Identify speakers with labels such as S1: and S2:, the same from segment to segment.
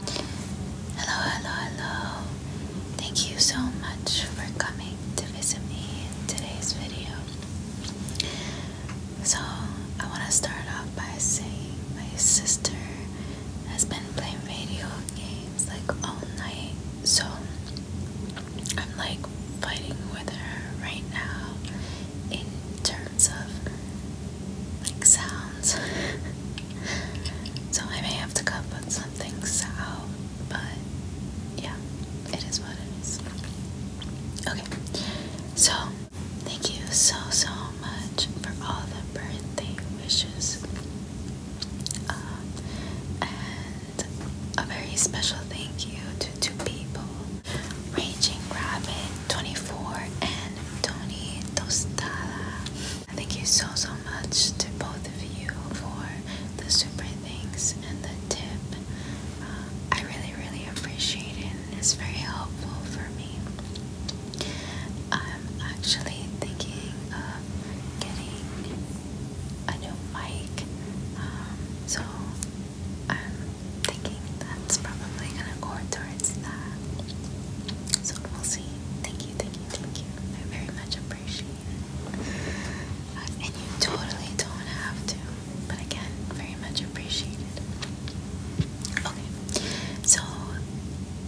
S1: Hello, hello, hello. Thank you so much for coming to visit me in today's video. So, I want to start off by saying my sister has been playing video games like all night. So, I'm like fighting with her right now in terms of like sounds. so I may have to cut but some things out, but yeah, it is what it is. Okay, so thank you so so much for all the birthday wishes. Um, and a very special thank you to two people Raging Rabbit 24 and Tony Tostada. Thank you so so much to both of you for the super thanks and the tip. Uh, I really really appreciate it it's very helpful for me. I'm actually thinking of getting a new mic, um, so I'm thinking that's probably gonna go towards that. So we'll see. Thank you, thank you, thank you. I very much appreciate it. Uh, and you totally don't have to, but again, very much appreciated. Okay, so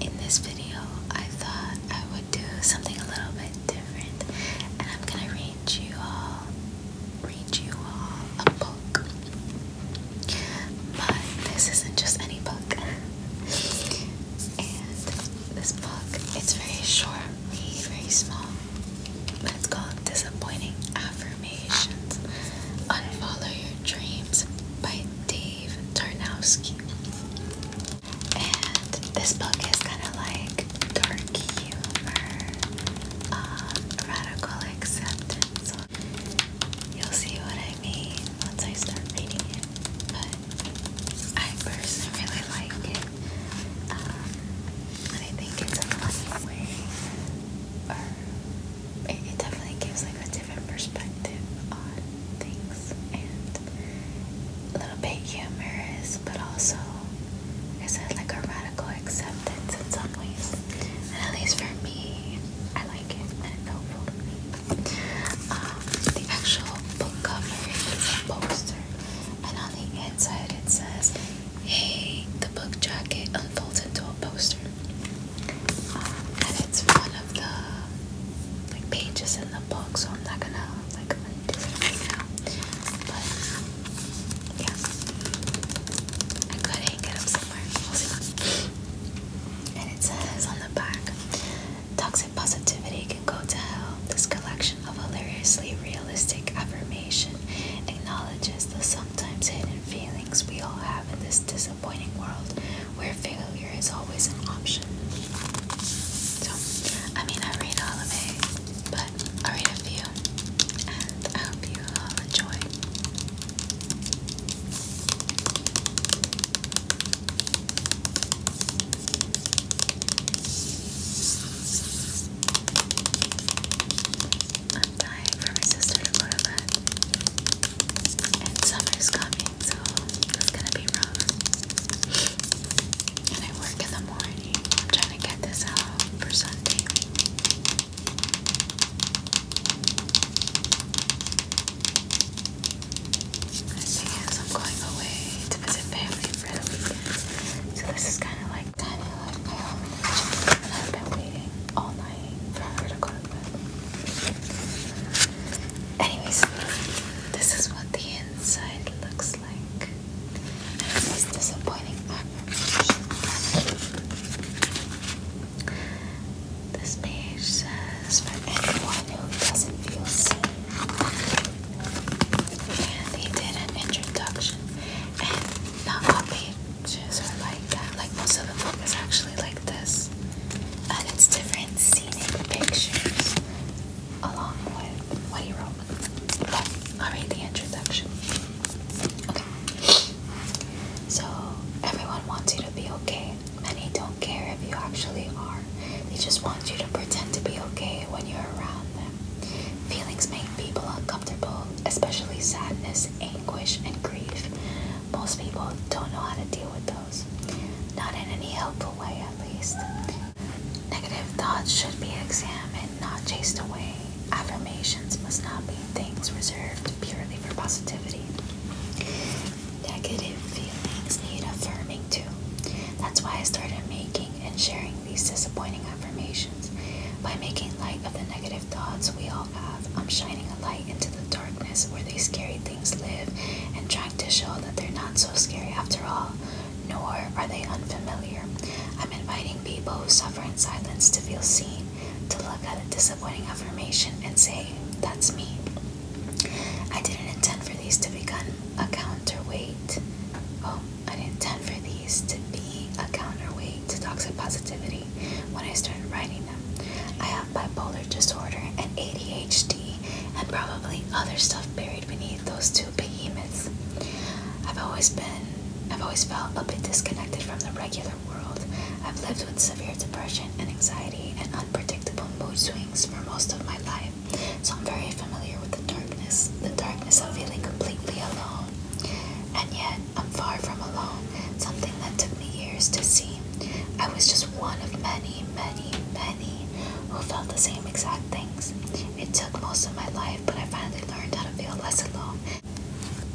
S1: in this video, I thought I would do something a little bit different, and I'm gonna read you all, read you all a book. But this isn't just any book. and this book, it's very short, read, very small. But it's called Disappointing Affirmations. Unfollow Your Dreams by Dave Tarnowski. And this book is kind of like dark humor, uh, radical acceptance, You'll see what I mean once I start reading it, but I personally really like it. Um, I think it's a funny way, or it, definitely gives like a different perspective on things and a little bit humorous, but also it's like a radical acceptance in some ways at least for me, I like it and it's helpful to me. Um, the actual book cover poster, and on the inside it says, Hey, the book jacket unfolds into a poster. Um, and it's one of the like pages in the book, so I'm not gonna like undo it right now. But yeah, I couldn't get upset and it says on the back Toxic positivity can go to hell. This collection of hilariously realistic affirmation acknowledges the sometimes hidden feelings we all have in this disappointing world where failure is always an option. So, I mean, I read all of it, but I read a few. I hope you all uh, enjoy. I'm dying for my sister to go to bed. And summer's coming, so it's gonna be rough. And I work in the morning. trying to get this out for Sunday thing is, I'm going away to visit family for the weekend. So this is kind of like kind of like my home and I've been waiting all night for her to go Anyways, this is what the inside looks like. This disappointing This page says for anyone who doesn't feel seen. And they did an introduction. And not all pages are like that. Like most of the book is actually like this. And it's different scenic pictures along with what he wrote. I'll read the introduction. Okay. So, everyone wants you to be okay. Many don't care if you actually are. They just want you to pretend to be okay when you're around them. Feelings make people uncomfortable, especially sadness, anguish, and grief. Most people don't know how to deal with those. Not in any helpful way, at least. Negative thoughts should be examined, not chased away. Affirmations must not be things reserved purely for positivity. Negative feelings need affirming too. That's why I started making and sharing these disappointing affirmations. By making light of the negative thoughts we all have, I'm shining a light into the darkness where these scary things live and trying to show that they're not so scary after all nor are they unfamiliar. I'm inviting people who suffer in silence to feel seen, to look at a disappointing affirmation and say, That's me. I didn't intend for these to become a counterweight. Oh, I didn't intend for these to be a counterweight to toxic positivity when I started writing them. I have bipolar disorder and ADHD and probably other stuff buried beneath those two behemoths. I've always been, I've always felt a bit disconnected from the regular world. I've lived with severe depression and anxiety and unpredictable mood swings for most of my life, so I'm very familiar with the darkness, the darkness of feeling completely alone. And yet, I'm far from alone, something that took me years to see. I was just one of many, many, many who felt the same exact things. It took most of my life, but I finally learned how to feel less alone.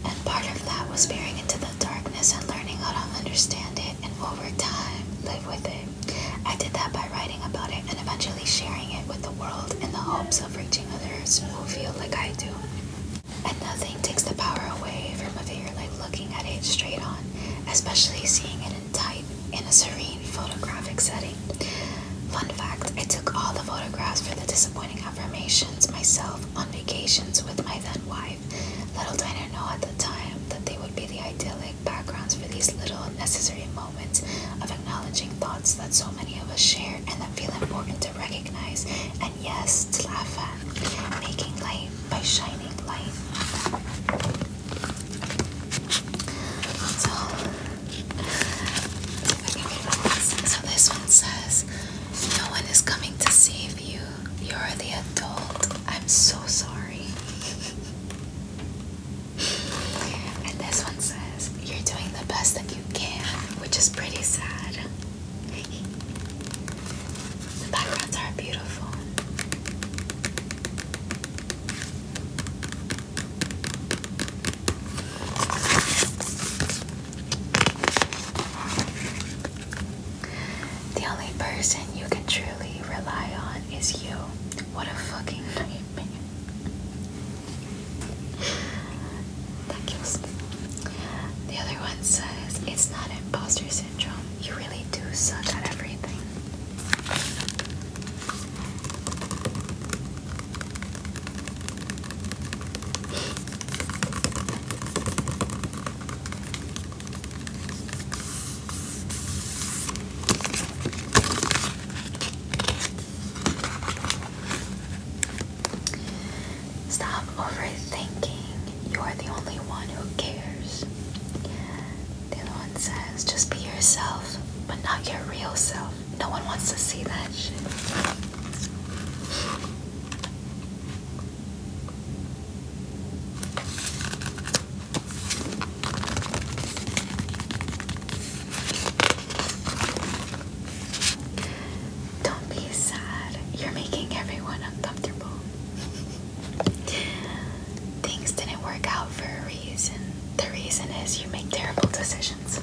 S1: And part of that was peering into the darkness and learning how to understand it and over time live with it. I did that by writing about it and eventually sharing it with the world in the hopes of reaching others who feel like I do. And nothing takes the power away from a fear like looking at it straight on, especially seeing it in time in a serene photographic setting. Fun fact I took all the photographs for the disappointing affirmations myself on vacations with my then wife. Little did I know at the time that they would be the idyllic backgrounds for these little necessary moments of acknowledging thoughts that so many of us share and that feel important to recognize and, yes, to laugh at. Making light by shining light. So, so this one says, No one is coming to save you. You're the adult. I'm so sorry. and this one says, You're doing the best that you can, which is pretty sad. the backgrounds are beautiful. The only person you can truly rely on is you. What a fucking nightmare. that kills me. The other one says it's not imposter syndrome. You really do suck at everything. Stop overthinking. You are the only one who cares. The other one says, just be yourself, but not your real self. No one wants to see that shit. Don't be sad. You're making everyone uncomfortable. Things didn't work out for a reason. The reason is you make terrible decisions. I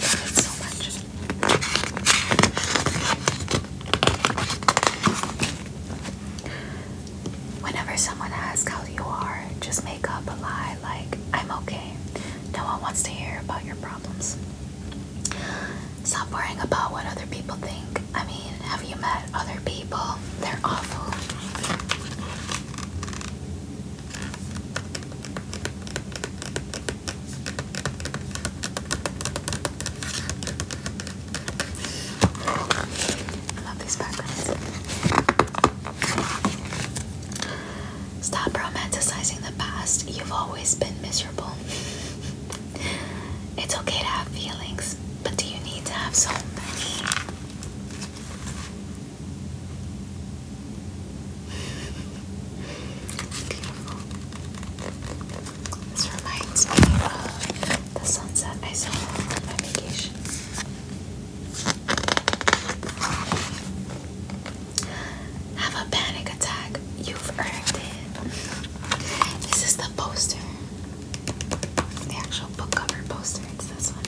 S1: love it so much. Whenever someone asks how you are, just make up a lie like, I'm okay. No one wants to hear about your problems. Stop worrying about what other people think. I mean, have you met other people? They're awful. I love these backgrounds. Stop romanticizing the past. You've always been miserable. It's okay to have feelings, but do you need to have so many? This reminds me of the sunset I saw on vacation. Have a panic attack. You've earned it. This is the poster. The actual book cover poster. It's this one.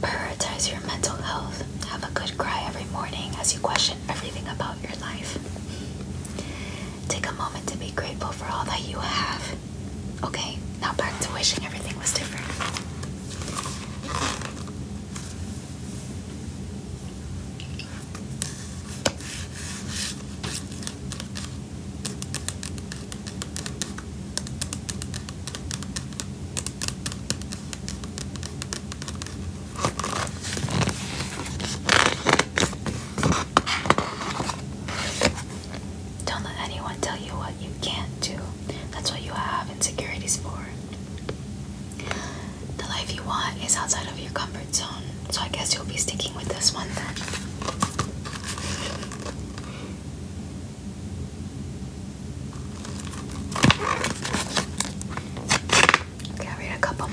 S1: Prioritize your mental health. Have a good cry every morning as you question everything about your life. Take a moment to be grateful for all that you have. Okay, now back to wishing everything was different. Don't let anyone tell you what you can't do. That's what you have insecurities for. The life you want is outside of your comfort zone, so I guess you'll be sticking with this one then. Okay, i read a couple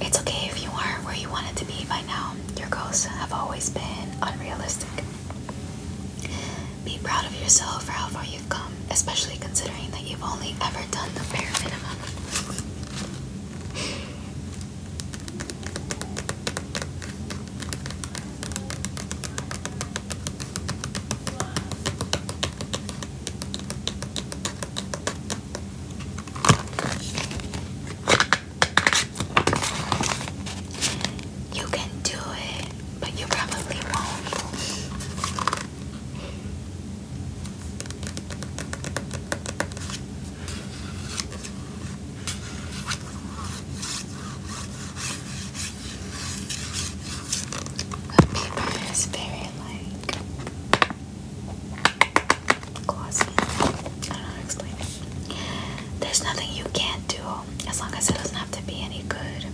S1: It's okay if you aren't where you wanted to be by now. Your goals have always been unrealistic. Be proud of yourself for how far you've come, especially considering that you've only ever done the bare minimum. You can do it, but you probably won't paper is very like glossy. I don't know to explain There's nothing you can't do as long as it doesn't have to be any good.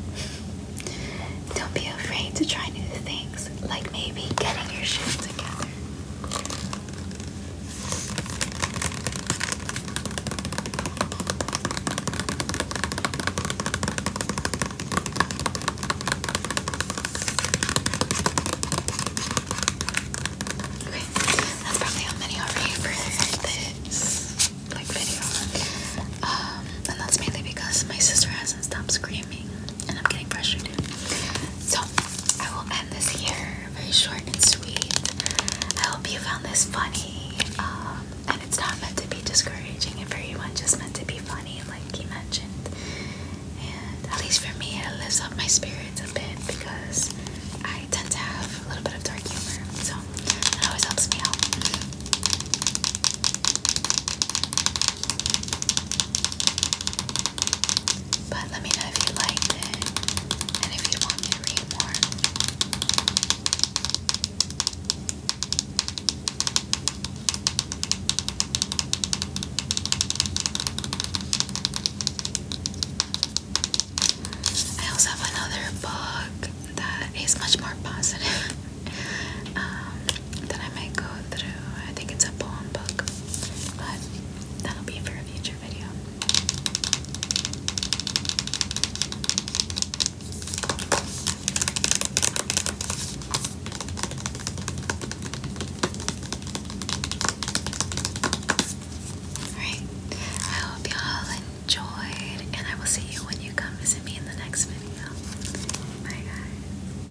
S1: Don't be afraid to try new things, like maybe getting your shit together. Okay, that's probably how many are here for this like video. Um, and that's mainly because my sister hasn't stopped screaming and I'm getting frustrated. So I will end this here, very short and sweet. I hope you found this funny, um, and it's not meant to be discouraging. It's very much just meant to be funny, like he mentioned. And at least for me, it lifts up my spirits a bit because I tend to have a little bit of dark humor, so it always helps me out. But let me know if you liked it and if you want me to read more. I also have another book that is much more positive. Um, that I might go through. I think it's a poem book, but that'll be for a future video. Alright, I hope y'all enjoyed, and I will see you when you come visit me in the next video. Bye, guys.